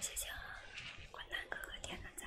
谢谢，啊，冠南哥哥点的赞。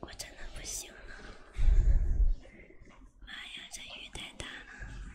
我真的不行了，妈呀，这雨太大了。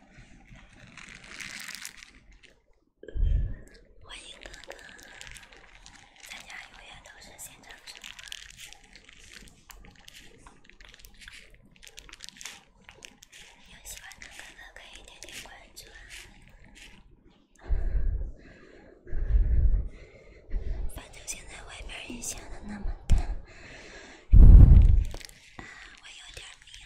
欢迎哥哥，咱家永远都是现场直播。有喜欢的哥哥可以点点关注。反正现在外面影下的那么大，我有点迷了。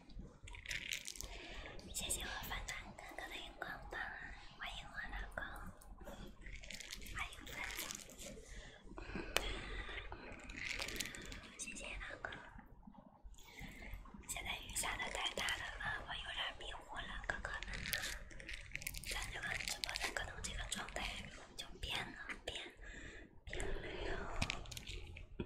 谢谢我班长哥哥的荧光棒，欢迎我老公，欢迎班长，谢谢老公。现在雨下的太大的了，我有点迷糊了，哥哥们，咱这个直播间可能这个状态就变了，变，了，变了。哟。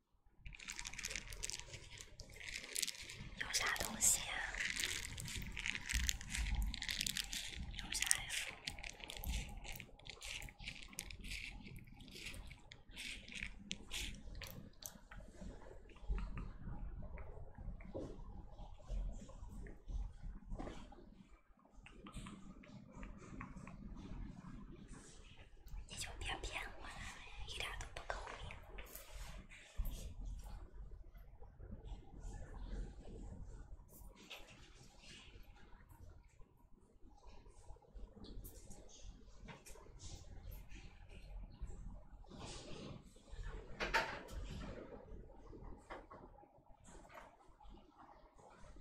有啥东西呀？有啥呀？你就别骗我了，一点都不聪明。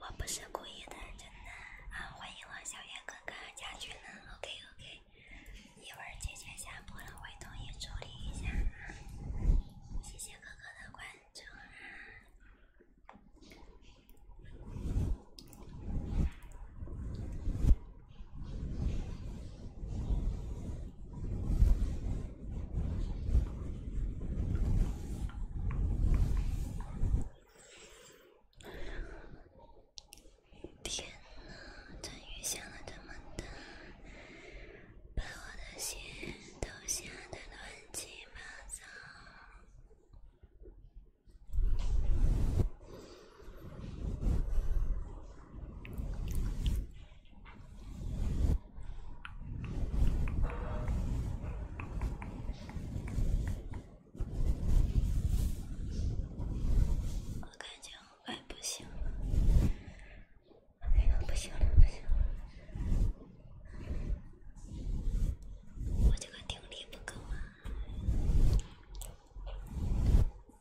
我不是故意的，真的啊！欢迎王小源哥哥加群呢，OK OK。一会儿姐姐下播了会统一处理一下，谢谢哥哥的关注。天呐，这雨下了这么大，把我的心都下得乱七八糟。我感觉我快不行了，哎呀，不行了，不行了，我这个定力不够啊。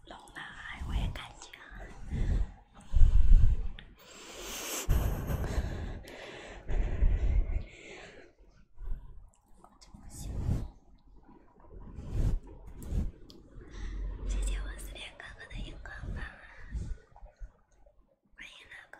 老男孩，我也感觉。谢谢我四天哥哥的荧光棒。欢迎大哥。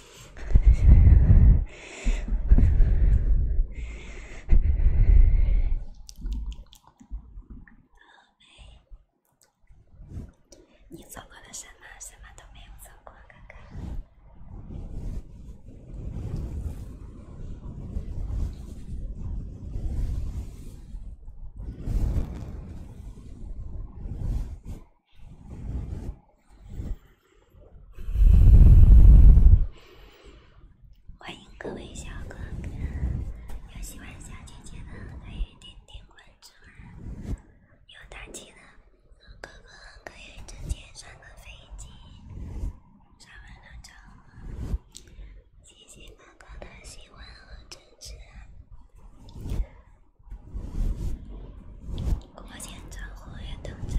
喂，你做过的什么？什么都没有做过，哥哥。欢迎各位小哥哥，有喜欢小姐姐的可以点点关注啊，有打气的哥哥可以直接上个飞机，上完就走，谢谢哥哥的喜欢和支持国前账户也登真。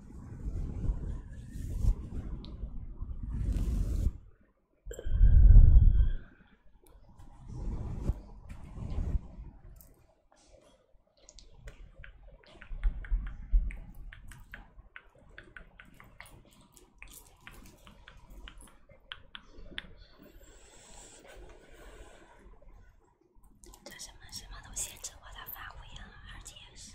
什么什么都限制我的发挥啊，而且是。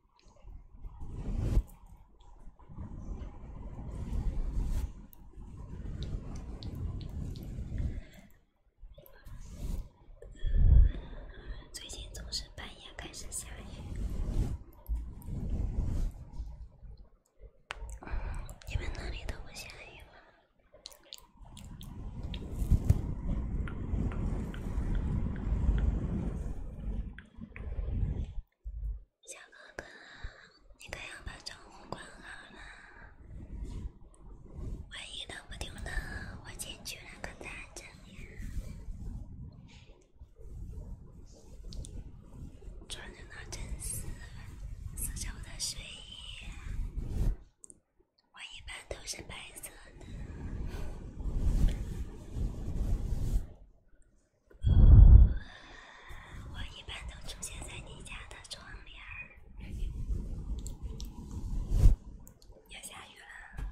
最近总是半夜开始下雨。你们那里都不下雨吗？小哥哥，你可要把窗户关好了，万一冷不丁的，我进去了可咋整呀？穿着那真丝丝绸的睡衣，我一般都是白色的。我一般都出现在你家的窗帘儿。要下雨了，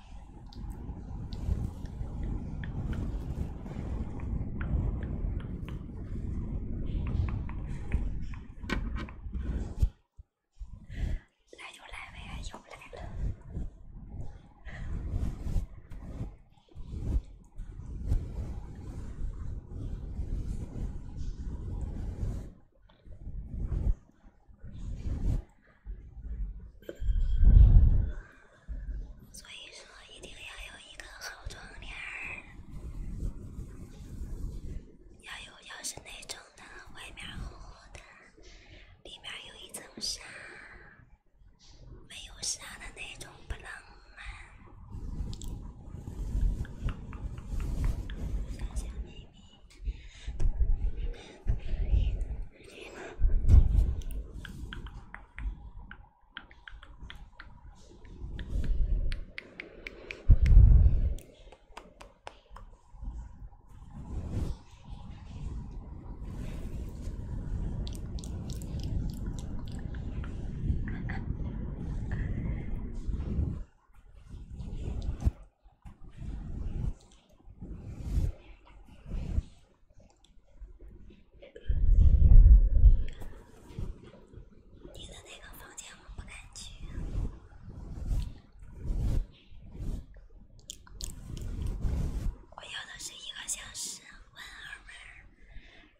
来就来呗，又来了。所以说，一定要有一个好窗帘儿，要有，要是那种的，外面厚厚的，里面有一层纱。没有啥的那种不浪漫。你的那个房间，我不敢去。我要的是一个小时，五二五二，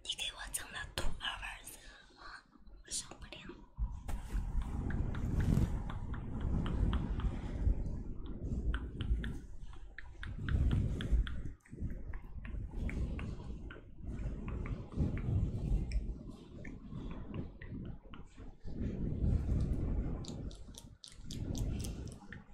你给我整的兔二五二，我受不了。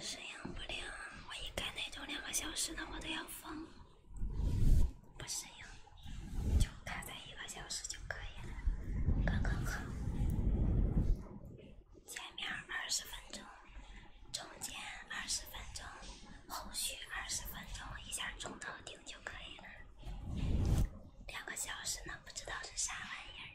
适应不了，我一干那种两个小时的，我都要疯。不适应，就开在一个小时就可以了，刚刚好。前面二十分钟，中间二十分钟，后续二十分钟，一下总到顶就可以了。两个小时呢，不知道是啥玩意儿。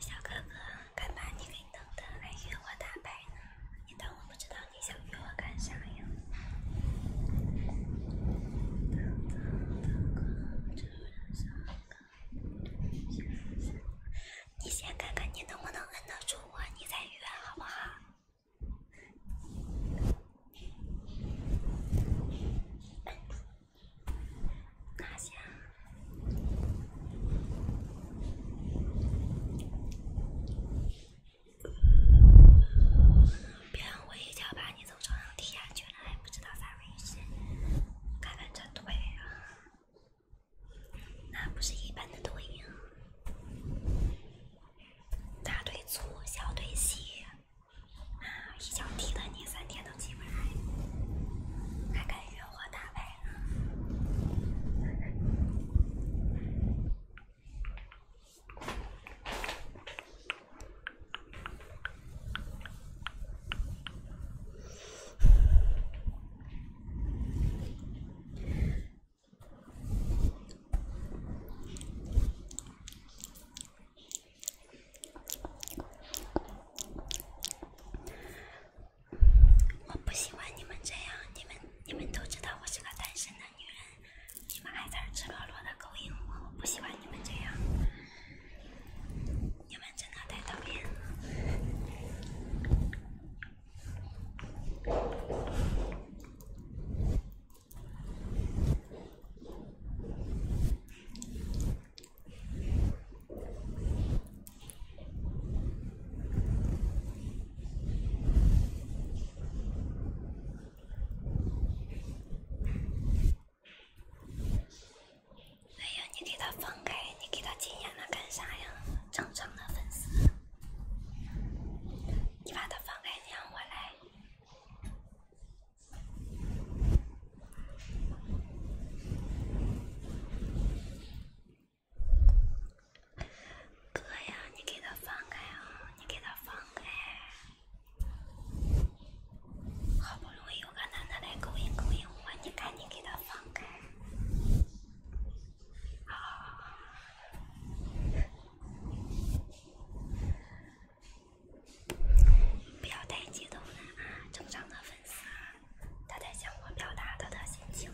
小哥哥，干嘛你给等的来约我打牌呢？你当我不知道你想约我干啥呀？你先看看你能不能摁得住我，你再约好不好？拿下！别让我一脚把你从床上踢下去，了。还不知道咋回事。看看这腿啊，那不是一般的腿呀，大腿粗，小腿细。啊，一脚踢的你三天都起不来，还敢约我打牌呢？我不喜欢你们这样，你们你们都知道我是个单身的女人，你们还在赤裸裸的勾引我，我不喜欢你们这样，你们真的太讨厌了。哎呀，你给他放开，你给他禁言了。干啥呀？正常的粉丝，你把他放开，你让我来。哥呀，你给他放开啊！你给他放开！好不容易有个男的来勾引勾引我，你赶紧给他放开！啊！不要太激动了，啊，正常的粉丝啊，他在向我表达他的心情。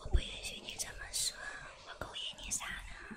我不允许你这么说，我勾引你啥呢？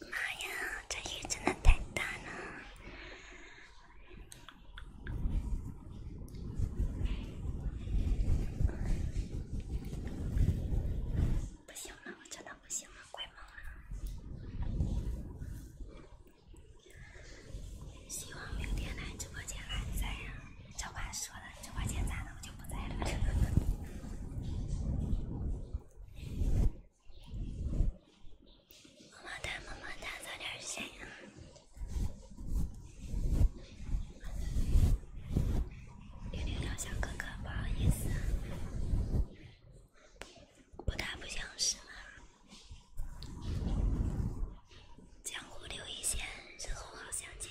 妈呀！这雨真的太大了，不行了，我真的不行了，快懵了。希望明天来直播间还在人。这话说的，这块钱咋弄就不在了。么么哒，么么哒，早点睡啊。六六刘小哥哥，不好意思，不打不相识嘛。江湖留一线，日后好相见。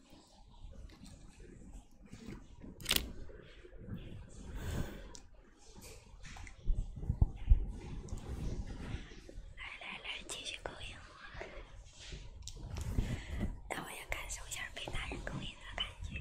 来来来，继续勾引我，让我也感受一下被男人勾引的感觉。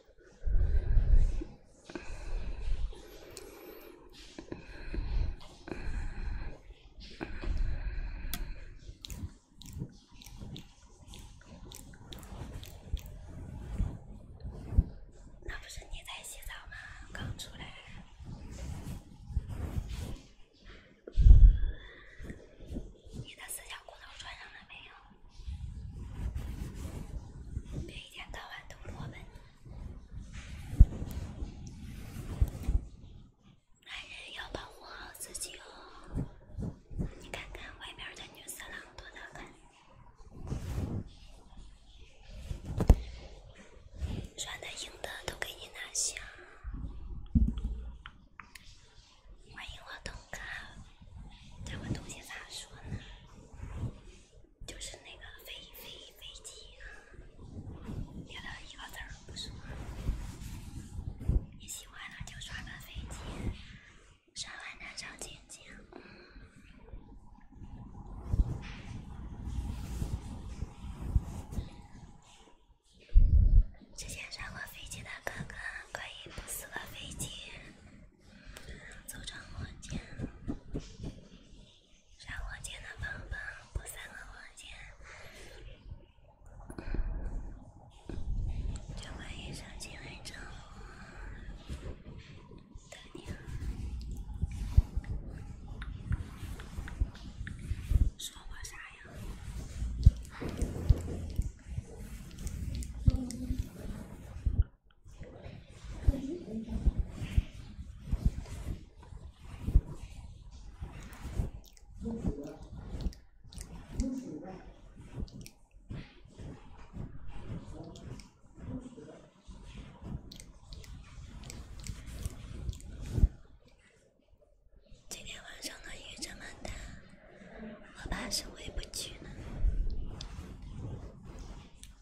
那不是你在洗澡吗？刚出来，你的四角裤头穿上了没有？别一天到晚都落寞，男人要保护好自己哦。你看看外面的女色狼多得很，软的硬的都给你拿下。欢迎我东哥，这们东西咋说呢？就是那个飞飞飞机，别的一个字儿不是。喜欢的就刷个飞机，刷完再上剪剪。之前上过飞机的哥哥可以不死个飞机。组成火箭，上火箭的胖胖不三个火箭，就会一声惊雷炸响。说，我啥呀？今天晚上的雨这么大，我怕是回不去了。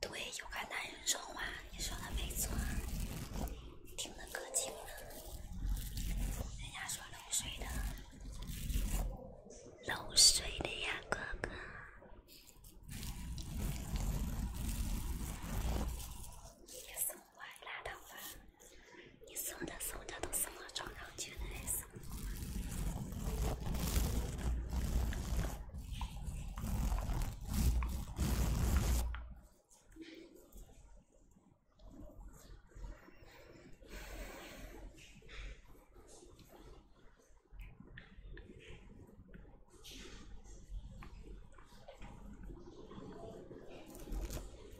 对，有个男人说话，你说的没错，听的可清了。人家说漏水的，漏水的呀，哥哥。拉倒吧！你送的送的都什么装上去的。还什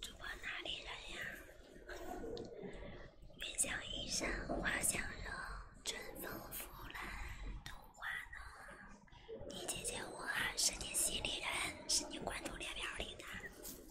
主播哪里人呀？远香衣裳花香浓，春风拂乱桃花浓。你姐姐我是你心里人，是你关注列表里的。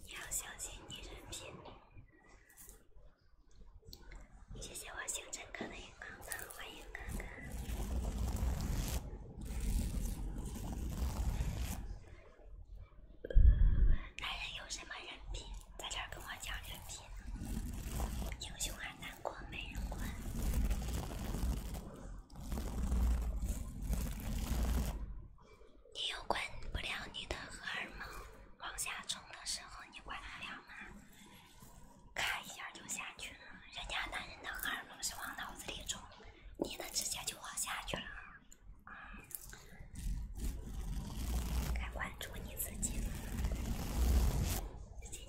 你要相信你人品。谢谢我星辰哥的。宝宝，欢迎哥哥。男人有什么人品，在这儿跟我讲人品。英雄还难过美人关。你又管不了你的荷尔蒙往下冲的时候，你管得了吗？看一下就下去了，人家男人的荷尔蒙是往脑子里冲，你的直接就往下去了。该关注你自己，谢谢你。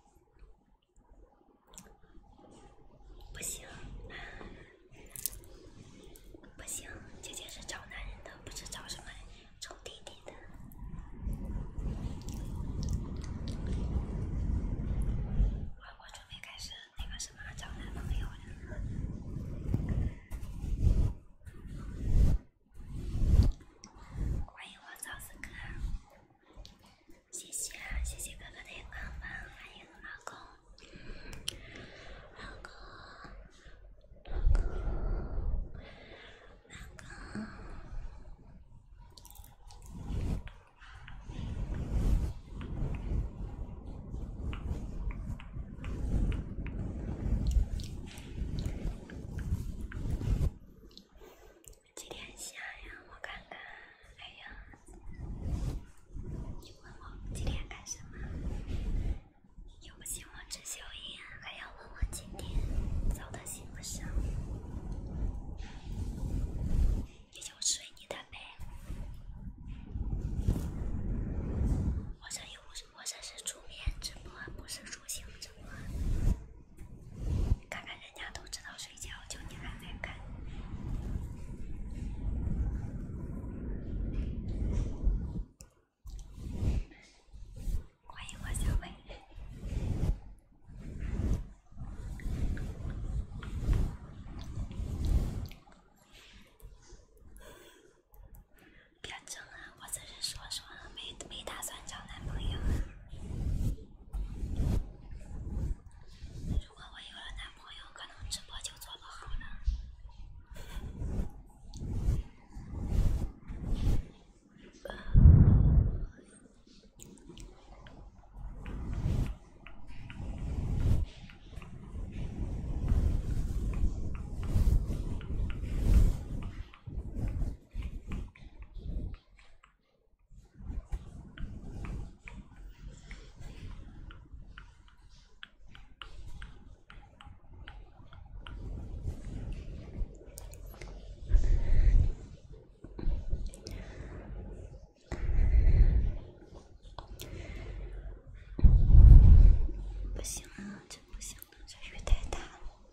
不行，不行！姐姐是找男人的，不是找什么找弟弟的。我我准备开始那个什么找男朋友了。欢迎我早死哥，谢谢谢谢哥哥的光光光，欢迎老公，老公，老公，老公。几点下呀，我看看。哎呀，你问我几点干什么？又不请我吃宵夜，还要问我今天早的行不行？你就睡你的呗。我这又不是，我这是出面直播，不是出镜直播。看看。人家都知道睡觉，就你还在看。欢迎我小妹。别争啊，我只是说说，没没打算找男朋友如果我有了男朋友，可能直播就做不好了。不行啊，真不行！这雨太大了。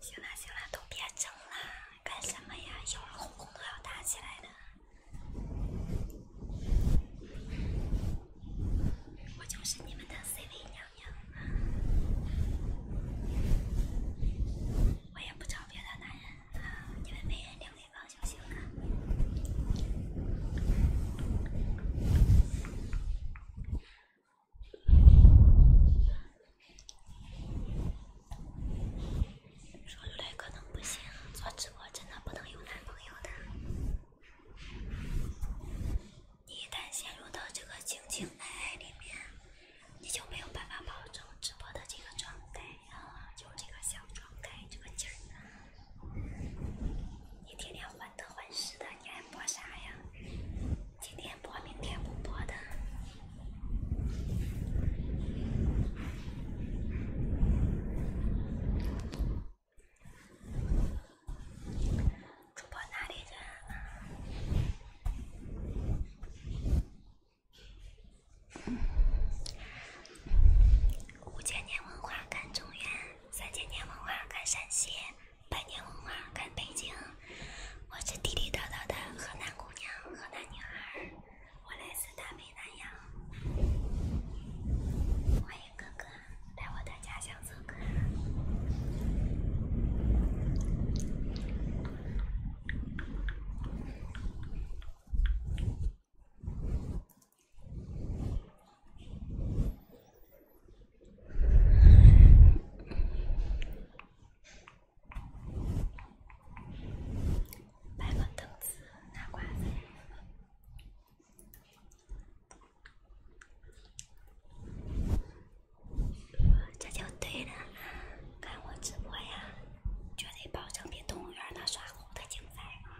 行了行了，都别争了，干什么呀？一会儿哄红都要打起来的。我就是你们的 C 位娘娘，我也不找别的男人，你们没人领。行了。说出来可能不行，做直播真的不能有男朋友的。你一旦陷入到这个情情爱爱里面，你就没有办法保证直播的这个状态啊，就这个小状态这个劲儿。你天天患得患失的，你还播啥呀？今天播，明天不播的，主播哪里人啊？五千年文化看中原，三千年文化看陕西，百年文化看北京。我是地地道道的河南姑娘、河南女孩，我来自大美南阳，欢迎哥哥来我的家乡做客。搬个凳子，拿瓜子。这就对了，看我直播呀！绝对保证比动物园那耍猴的精彩。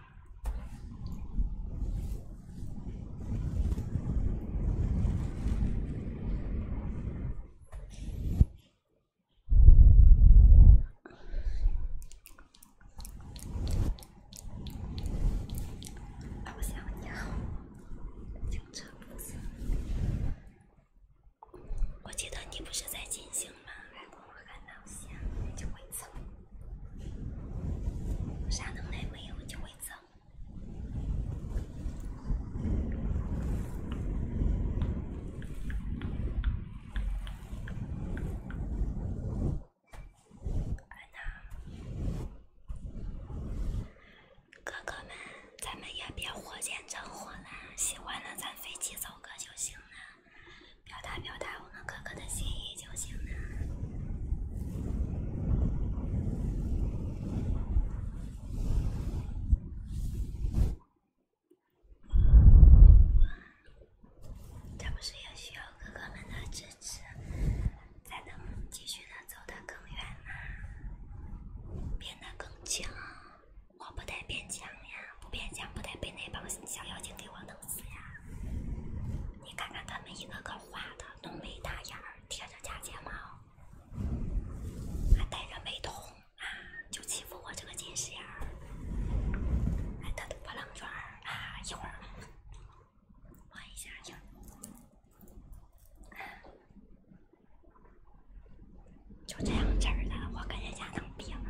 你好，不我记得你不是在进行吗？我喊老乡就会走，啥能耐没有就会走。哥哥们，咱们也别火箭升火了，喜欢的咱飞机走个就行了。表达表达我们哥哥的心意就行了。这不是也需要哥哥们的支持，才能继续的走得更远吗？变得更强，我不太变强呀，不变强不得被那帮小妖精给我弄。是呀，你看看他们一个个画的，浓眉大眼儿，贴着假睫毛，还戴着美瞳啊，就欺负我这个近视眼儿，还烫的波浪卷儿啊，一会儿，换一下去，就这样子儿的，我跟人家能比吗？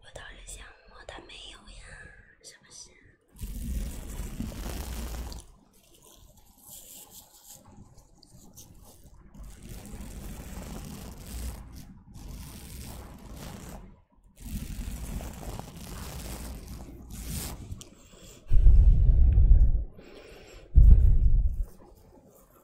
我倒是想摸，他没有呀，是不是？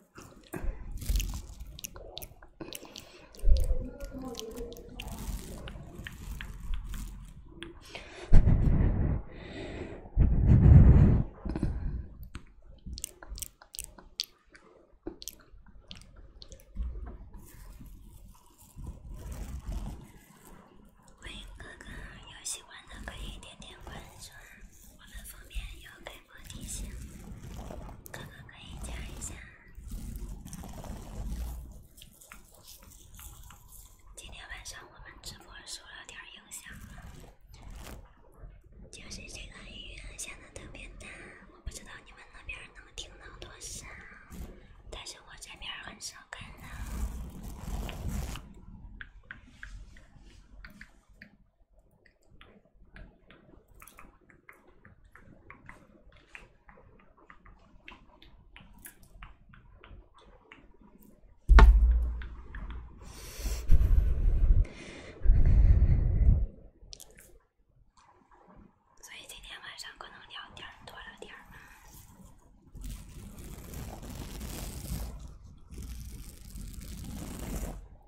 欢迎哥哥，有喜欢的可以点点关注，我们方面有。提醒哥哥可以加一下。今天晚上我们直播受了点影响，就是这个雨下的特别大，我不知道你们那边能听到多少，但是我这边很少看到。所以今天晚上可能聊天多了点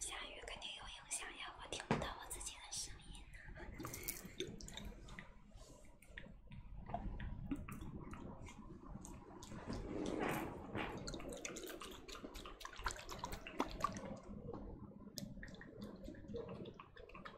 下雨肯定有影响呀，我听不到我自己的声音。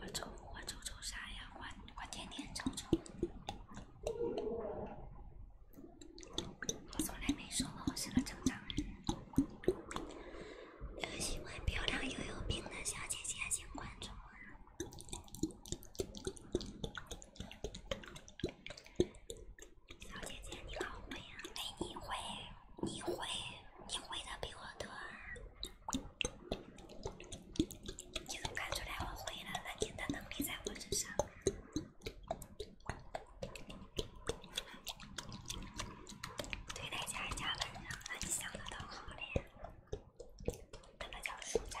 我抽我抽抽啥呀？我我天天抽抽。我从来没说过我是个正常人。喜欢漂亮又有病的小姐姐，请关注我。小姐姐你好美呀！没你会，你会。你会的比我多，你怎么看出来我会了？那你的能力在我之上。对待家人家人呢？那你想的都好了，那个叫舒渣。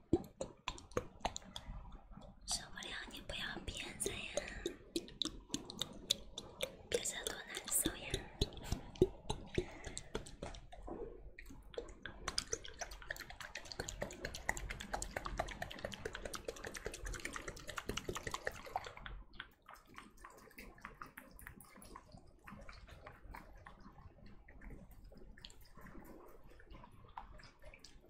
受不了，你不要憋着呀，憋着多难受呀。有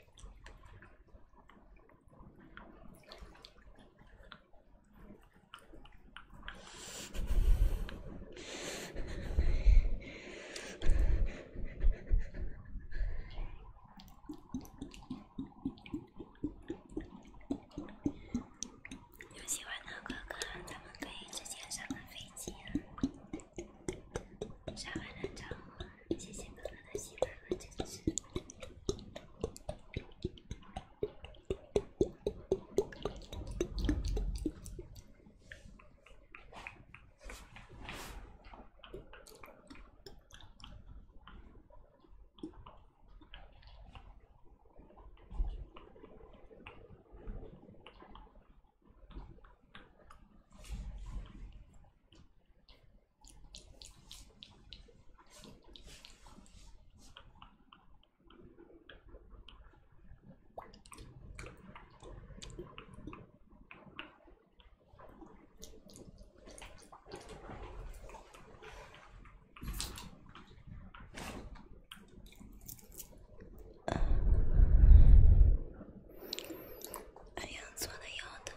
喜欢的哥哥，咱们可以直接上个飞机啊！刷完了账号，谢谢哥哥的喜欢和支持。哎呀，坐的腰疼。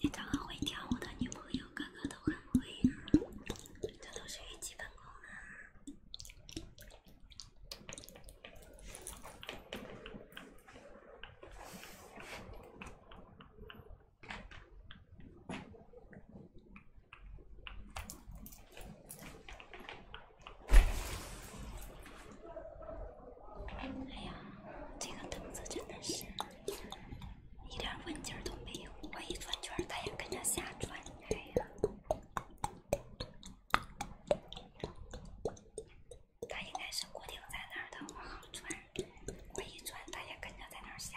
你找个会跳舞的女朋友，个个都很会，这都是基本功啊。哎呀，这个凳子真的是一点稳劲儿都没有，我一转圈儿它也跟着瞎转。对呀。它应该是固定在那儿的，我航转，我一转，它也跟着在那儿下。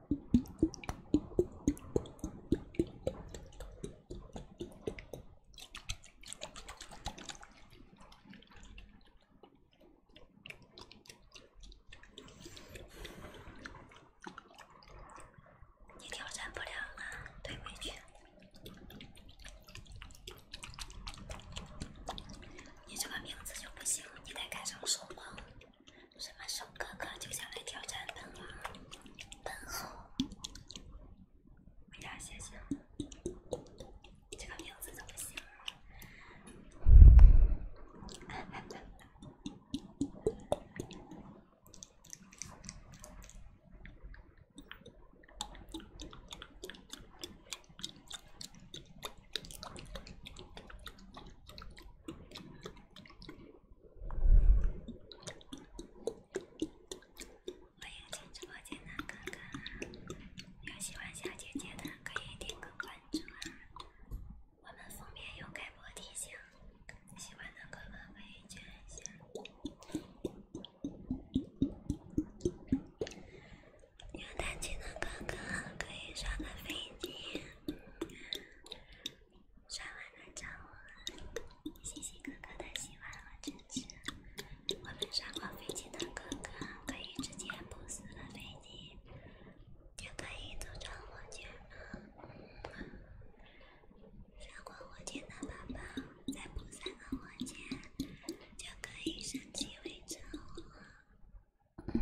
你挑战不了了，退回去。你这个名字就不行，你得改成什么？什么时哥哥就想来挑战本王、本后？哎呀，谢谢！这个名字怎么写？欢迎进直播间的哥哥，有喜欢小姐姐的可以点个关注啊！我们方面有开播提醒，喜欢的哥哥可以圈一下。有胆琴的哥哥可以刷个飞机。刷完了找我，谢谢哥哥的喜欢和支持。我们刷过飞机的哥哥可以直接补四个飞机，就可以组装火箭了。刷过火箭的宝宝再补三个火箭，就可以升级为超火。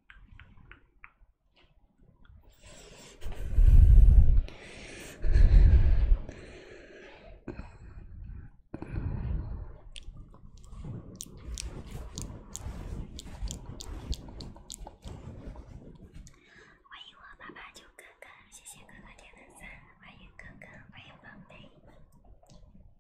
欢迎我爸爸九哥哥，谢谢哥哥点的赞，欢迎哥哥，欢迎宝贝。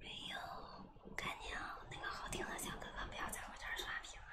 没有，赶紧啊！那个好听的小哥哥，不要在我这儿刷屏啊！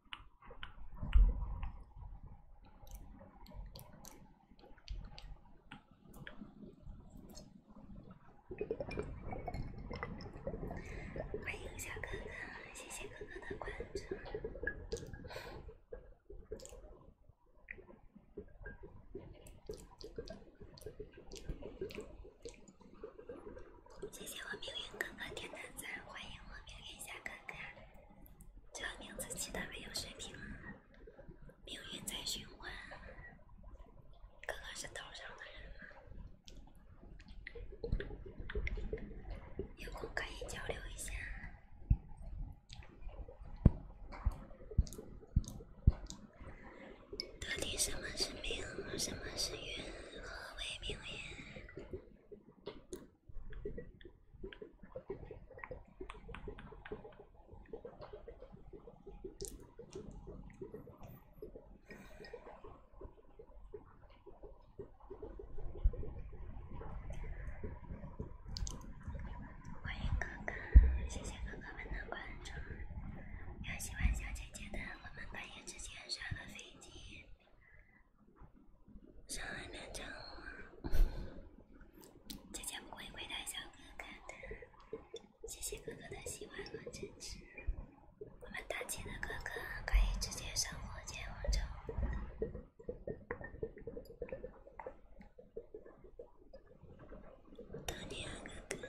欢迎小哥哥，谢谢哥哥的关注。谢谢我命运哥哥点的赞，欢迎我命运小哥哥。这个名字起的没有水平啊！命运在循环。哥哥是岛上的人吗？有空可以交流一下。到底什么是命，什么是运，何为命运？欢迎哥哥，谢谢哥哥们的关注。有喜欢小姐姐的，我们半夜之前上个飞机。上海南城，姐姐不会亏待小哥哥的。谢谢哥哥的喜欢和支持。我们大吉的哥哥可以直接上火箭王朝。多吉啊，哥哥。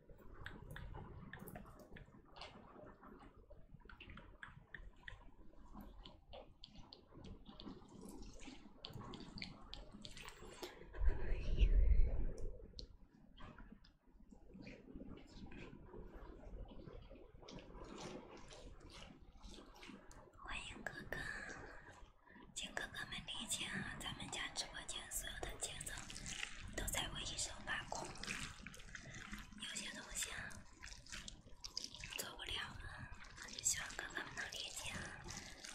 欢迎哥哥，请哥哥们理解啊，咱们家直播间。所有的节奏都在我一手把控，有些东西啊做不了了，希望哥哥们能理解。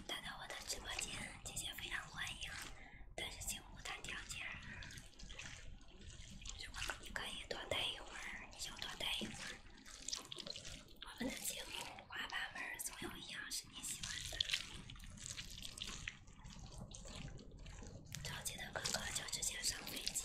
来到我的直播间，姐姐非常欢迎。但是请屋谈条件，你可以多待一会儿，你就多待一会儿。我们的节目五花八门，总有一样是你喜欢的。着急的哥哥就直接上飞机。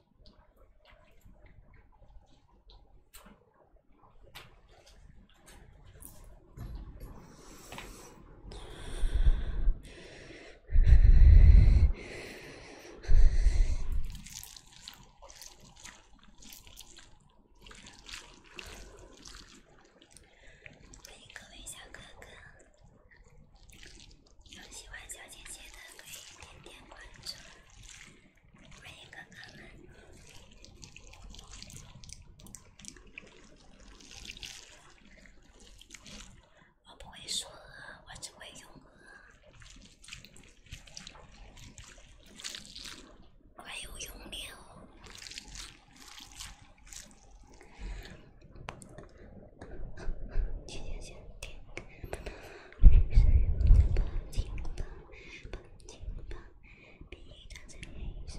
欢迎各位小哥哥，有喜欢小姐姐的可以点点关注。欢迎哥哥们！我不会说，我只会用。了。是，不进步，不进步，必须长成一棵树。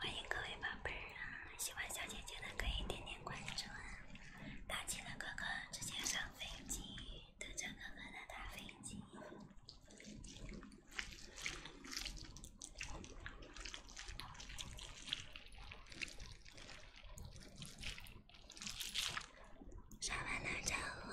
欢迎各位宝贝儿啊！喜欢小姐姐的可以点点关注啊！大气的哥哥直接上飞机，等着哥哥的大飞机，刷完了招呼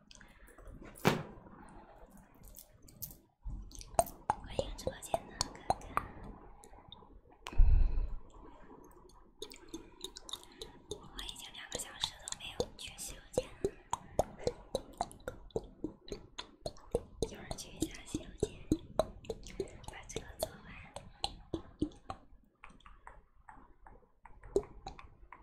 欢迎直播间的哥哥！我已经两个小时都没有去洗手间了，一会儿读一下《洗手间，把这个做完。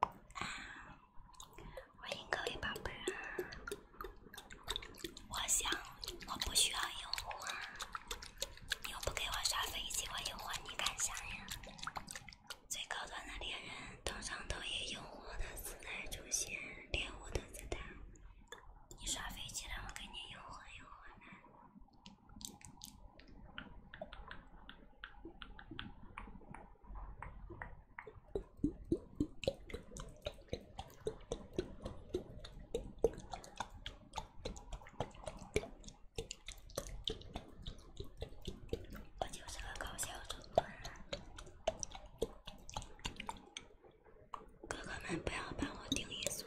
啊，欢迎各位宝贝儿。我想，我不需要诱惑。你又不给我刷飞机，我诱惑你干啥呀？最高端的猎人通常都以诱惑的姿态出现，猎物的姿态。你刷飞机了，我给你诱惑诱惑。来。我就是个搞笑主播，哥哥们不要把我顶一送。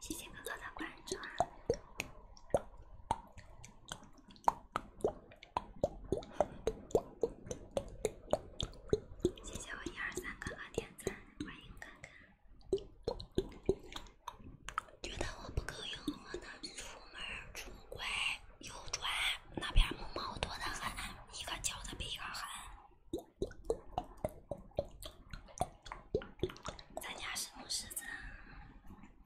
谢谢哥哥的关注啊！谢谢我一二三哥哥点赞，欢迎哥哥。觉得我不够用，我呢，出门儿出拐右转，那边母猫多的很，一个叫的比一个狠。咱家是母狮子。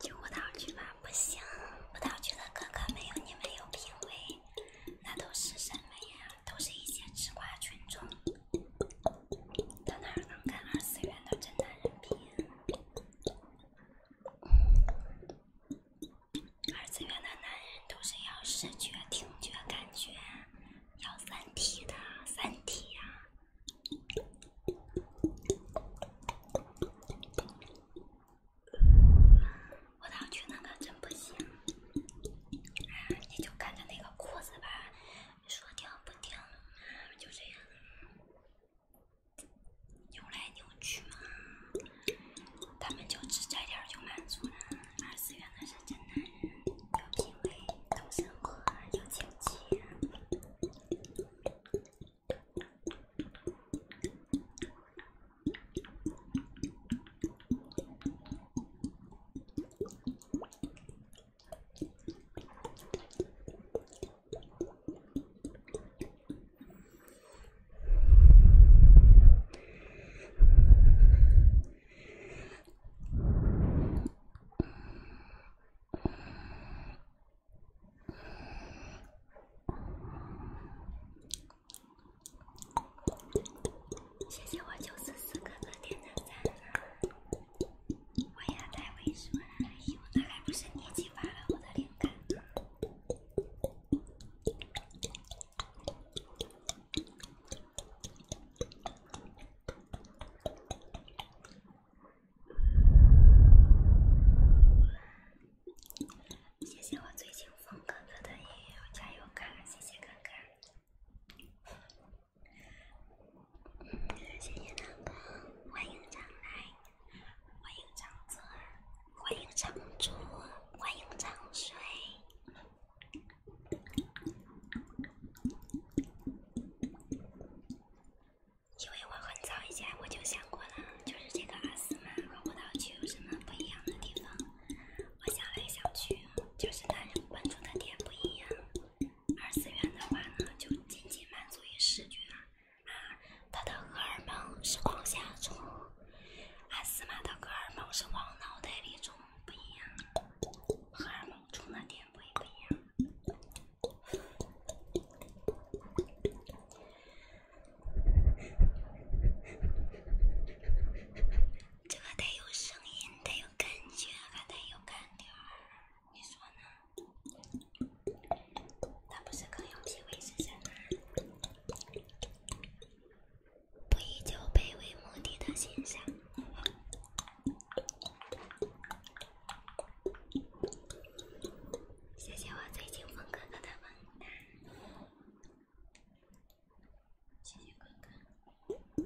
去舞蹈区吧，不行，舞蹈区的哥哥没有你们有品味，那都是什么呀？都是一些吃瓜群众，他哪能跟二次元的真男人比？二次元的男人都是要视觉、听觉、感觉，要三体的三体呀！我套去那个真不行，你就看着那个裤子吧，说掉不停，就这样扭来扭去嘛。他们就吃这点就满足了。二次元的是真男人，有品味，懂生活，有情趣。谢谢我九四四哥的点赞，我也太会说了，哎呦，那还不是你激发了我的灵感。谢谢我最近风哥哥的音乐加油卡，谢谢哥哥。嗯，谢谢呢。欢迎常来，欢迎常坐，欢迎常住，欢迎常睡。因为我很早以前我就想过了，就是这个阿斯玛和舞蹈剧有什么不一样的地方。我想来想去，就是它关注的点不一样。二次元的话呢，就仅仅满足于视觉，啊，它的荷尔蒙是往下冲。阿斯玛的荷尔蒙是往脑袋里冲，不一样。荷尔蒙冲的点不一不一样。这个得有声音，得有感觉，还得有感觉。你说呢？那不是更有品味一些吗？不以酒杯为目的的现象。谢谢我最金风哥哥的萌哒，谢谢哥哥，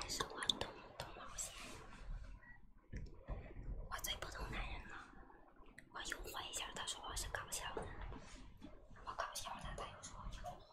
还是我懂懂毛线，我最不懂男人了。我又换一下，他说我是搞笑的，我搞笑的，他又说又换。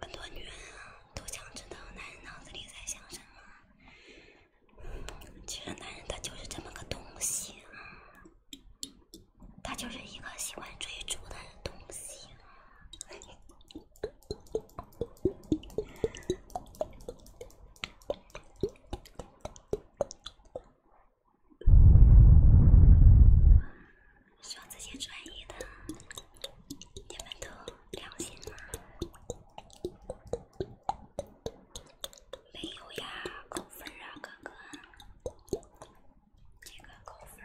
很多女人啊，都想知道男人脑子里在想什么。其实男人他就是这么个东西，他就是一个喜欢追逐的东西。说这些专业的，你们都良心吗？没有呀，扣分啊，哥哥，这个扣分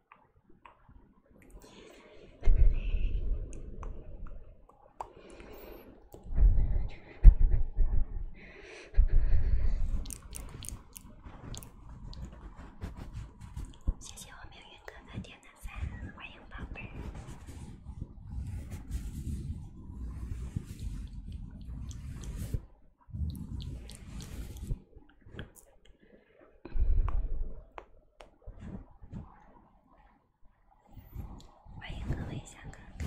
谢谢我命运哥的甜的饭，欢迎宝贝儿。欢迎各位小哥哥。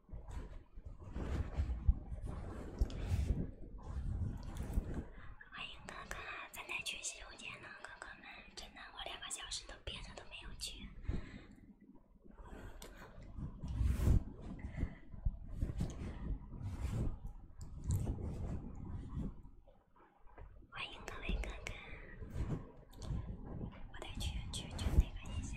欢迎哥哥，咱得去洗手间呢，哥哥们。真的，我两个小时都别的都没有去。欢迎各位哥哥，我得去去去那个一下。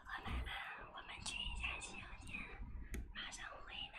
哥哥们，我们去一下洗手间，马上回来。